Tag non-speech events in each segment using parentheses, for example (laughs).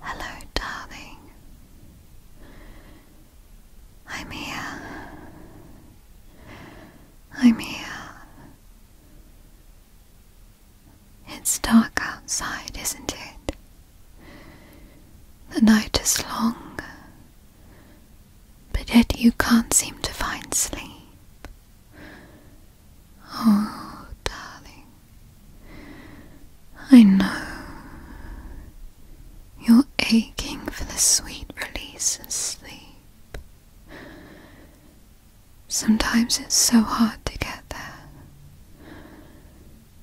Hello, darling. I'm here. I'm here. It's dark outside, isn't it? The night is long, but yet you can't seem to find sleep. Oh, darling, I know you're aching for the sweet release of sleep. Sometimes it's so hard to get there,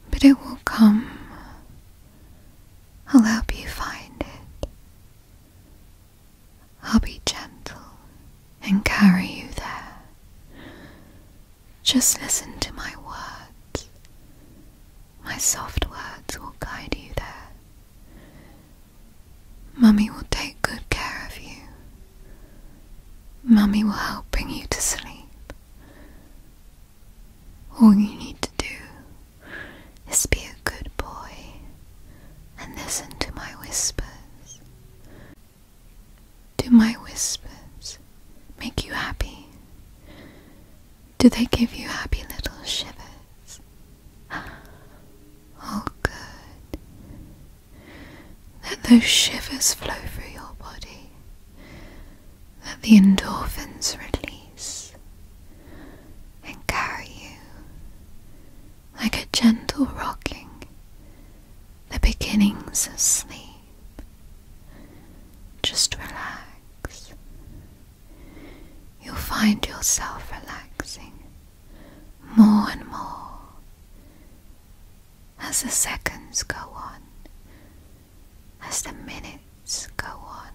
but it will come. I'll help you find it. I'll be gentle and carry you there. Just listen to my words. My soft words will guide you there. Mummy will take good care of you. Mummy will help bring you to sleep. All you need to do is be a good boy and listen to my whispers. Do my whispers make you happy? Do they give you happy little shivers? (gasps) Oh, good. Let those shivers flow through your body. Let the endorphins release and carry you like a gentle rocking, the beginnings of sleep. Just relax. You'll find yourself relaxing more and more as the seconds go on, as the minutes go on,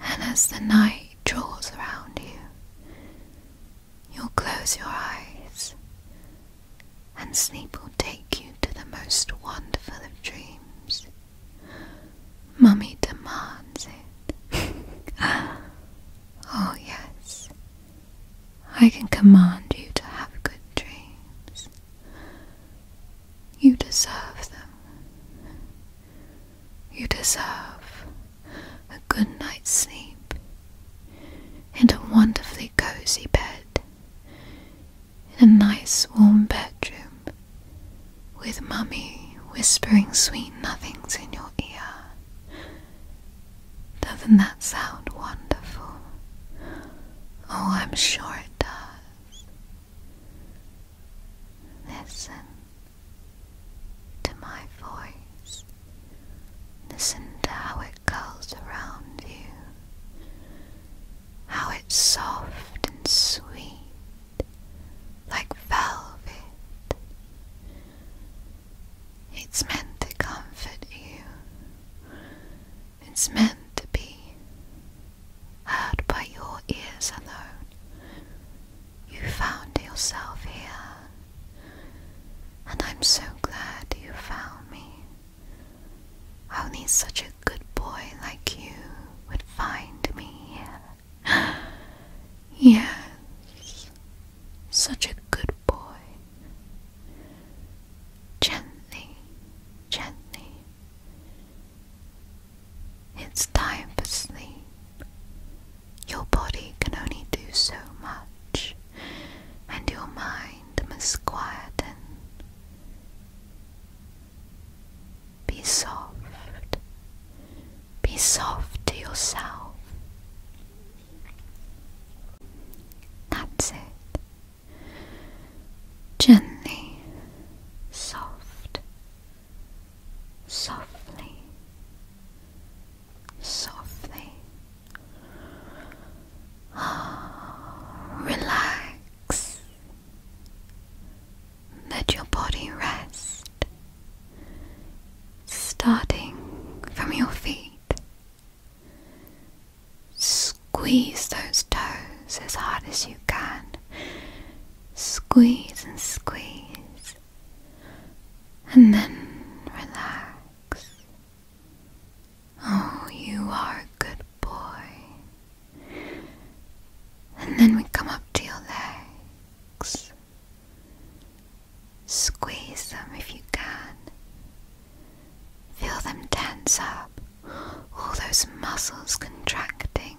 and as the night draws around you, you'll close your eyes, and sleep will take you to the most wonderful of dreams. Mummy demands it. (laughs) oh, yes, I can command you to have good dreams. You deserve them. You deserve a good night's sleep and a wonderfully cozy bed in a nice warm bedroom with mummy whispering sweet nothings in your ear. Doesn't that sound wonderful? Oh, I'm sure it does. Listen to my voice. Listen to how it curls around you, how it's soft and sweet, like velvet. It's meant to comfort you, it's meant to be heard by your ears alone. You found yourself here, and I'm so glad you found me. Only such a good boy like you would find me here. (gasps) yes, such a good boy. Gently, gently, it's time for sleep. Your body can only do so much, and your mind must quieten. Be soft. Be soft to yourself. That's it. Gently, soft, softly, softly. Oh, (sighs) relax. Let your body rest, starting from your feet. Squeeze those toes as hard as you can. Squeeze and squeeze. And then relax. Oh, you are a good boy. And then we come up to your legs. Squeeze them if you can. Feel them tense up all those muscles contracting,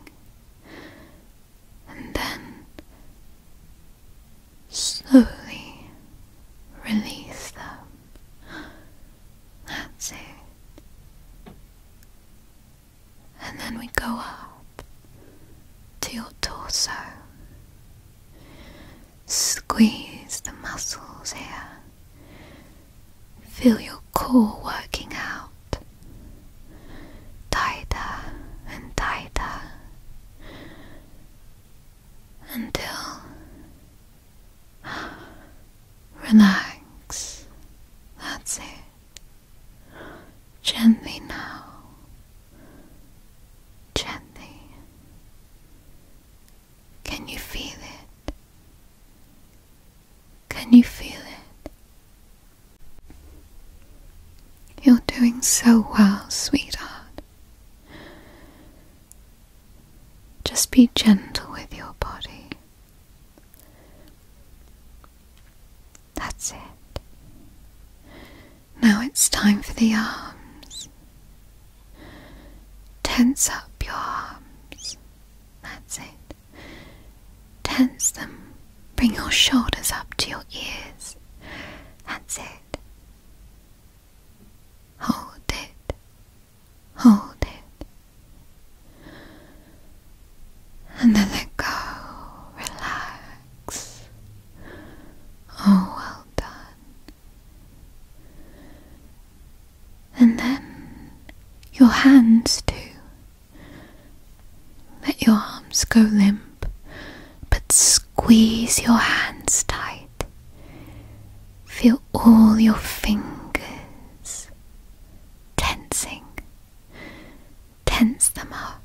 and then slowly release them. That's it. And then we go up to your torso. Squeeze the muscles here. Feel your core working out tighter and tighter until (sighs) relax. That's it. Gently now. Gently. Can you feel it? Can you feel it? You're doing so well, sweetheart. Just be gentle with your body. That's it. Now it's time for the arms. Tense up your arms. That's it. Tense them. Bring your shoulders up to your ears. That's it. Hold it. Hold it. And then let go. Relax. Oh, well done and then your hands too. Let your arms go limp, but squeeze your hands tight. Feel all your fingers tensing. Tense them up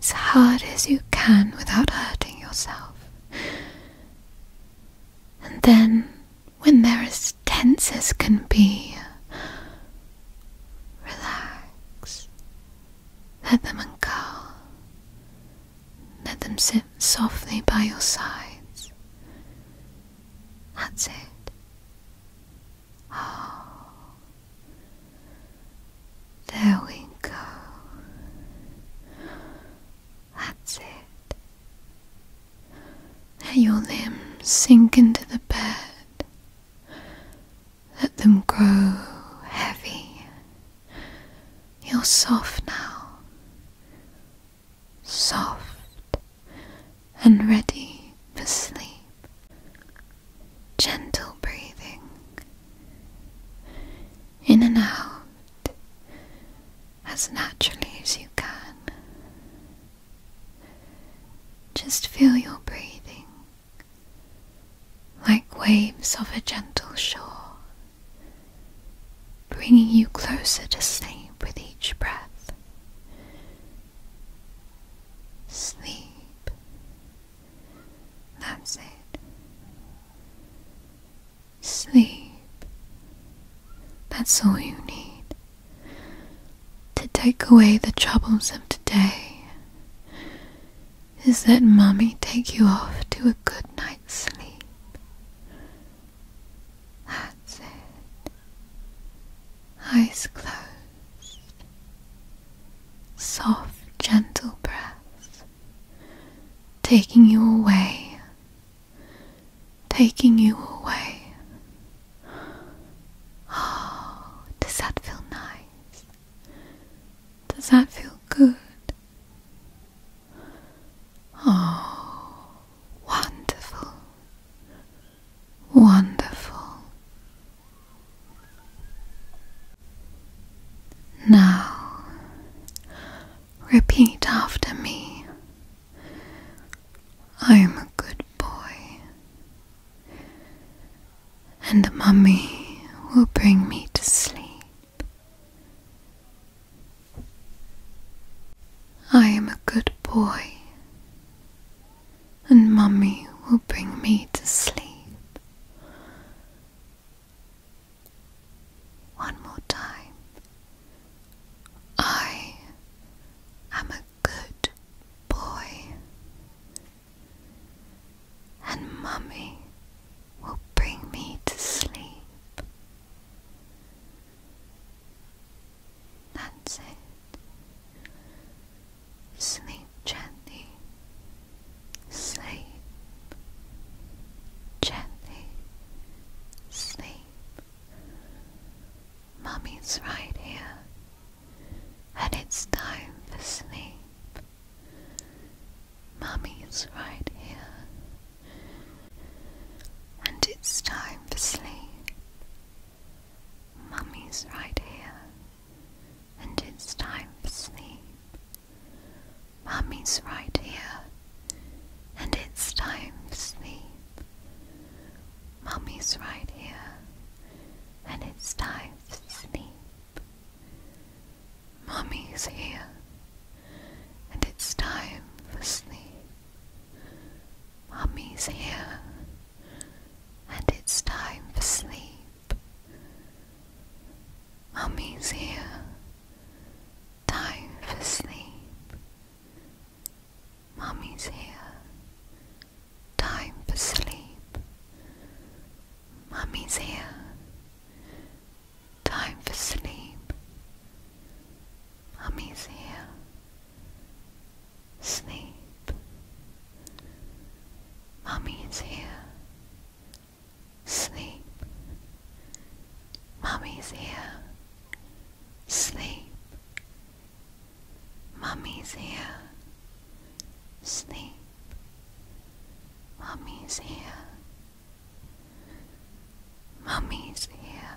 as hard as you can without hurting yourself. And then, when they're as tense as can be, relax. Let them uncoil. Let them sit softly by your sides. That's it. Oh. There we go. That's it. Let your limbs sink into the bed. Let them grow heavy. You're soft now. Soft and ready for sleep. Gentle breathing. In and out as naturally as you can. Just feel your breathing like waves of a gentle shore, bringing you closer to sleep with each breath. Sleep that's it. Sleep. That's all you need. To take away the troubles of today is that mommy, take you off to a good night's sleep. That's it. Eyes closed. Soft, gentle breath taking you away, taking you away. Oh, does that feel nice? Does that feel good? Oh, wonderful, wonderful. Now, repeat after me. I am a good boy, and Mummy will bring me to sleep. I am a good boy, and Mummy will bring me to sleep. One more time. I am a good boy, and Mummy will bring me to sleep. That's it. Sleep gently. Sleep. Gently. Sleep. Mummy's right here. And it's time for sleep. Mummy's right here. And it's time for sleep. Mummy's right here and it's time for sleep. Mummy's right here, and it's time for sleep. Mummy's right here, and it's time for sleep. Mummy's here, and it's time for sleep. Mummy's here, and it's time for sleep. Mummy's here. Time for sleep. Mummy's here. Time for sleep. Mummy's here. Time for sleep. Mummy's here. Sleep. Mommy here. Sleep. Mommy's here. Sleep. Mommy's here. Sleep. Mommy's here. Mommy's here.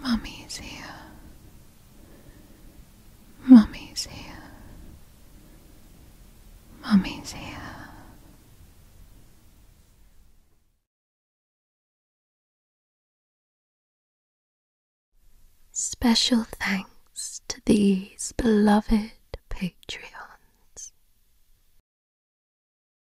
Mummy's here. Mummy's here. Mummy's here. Special thanks to these beloved Patreons.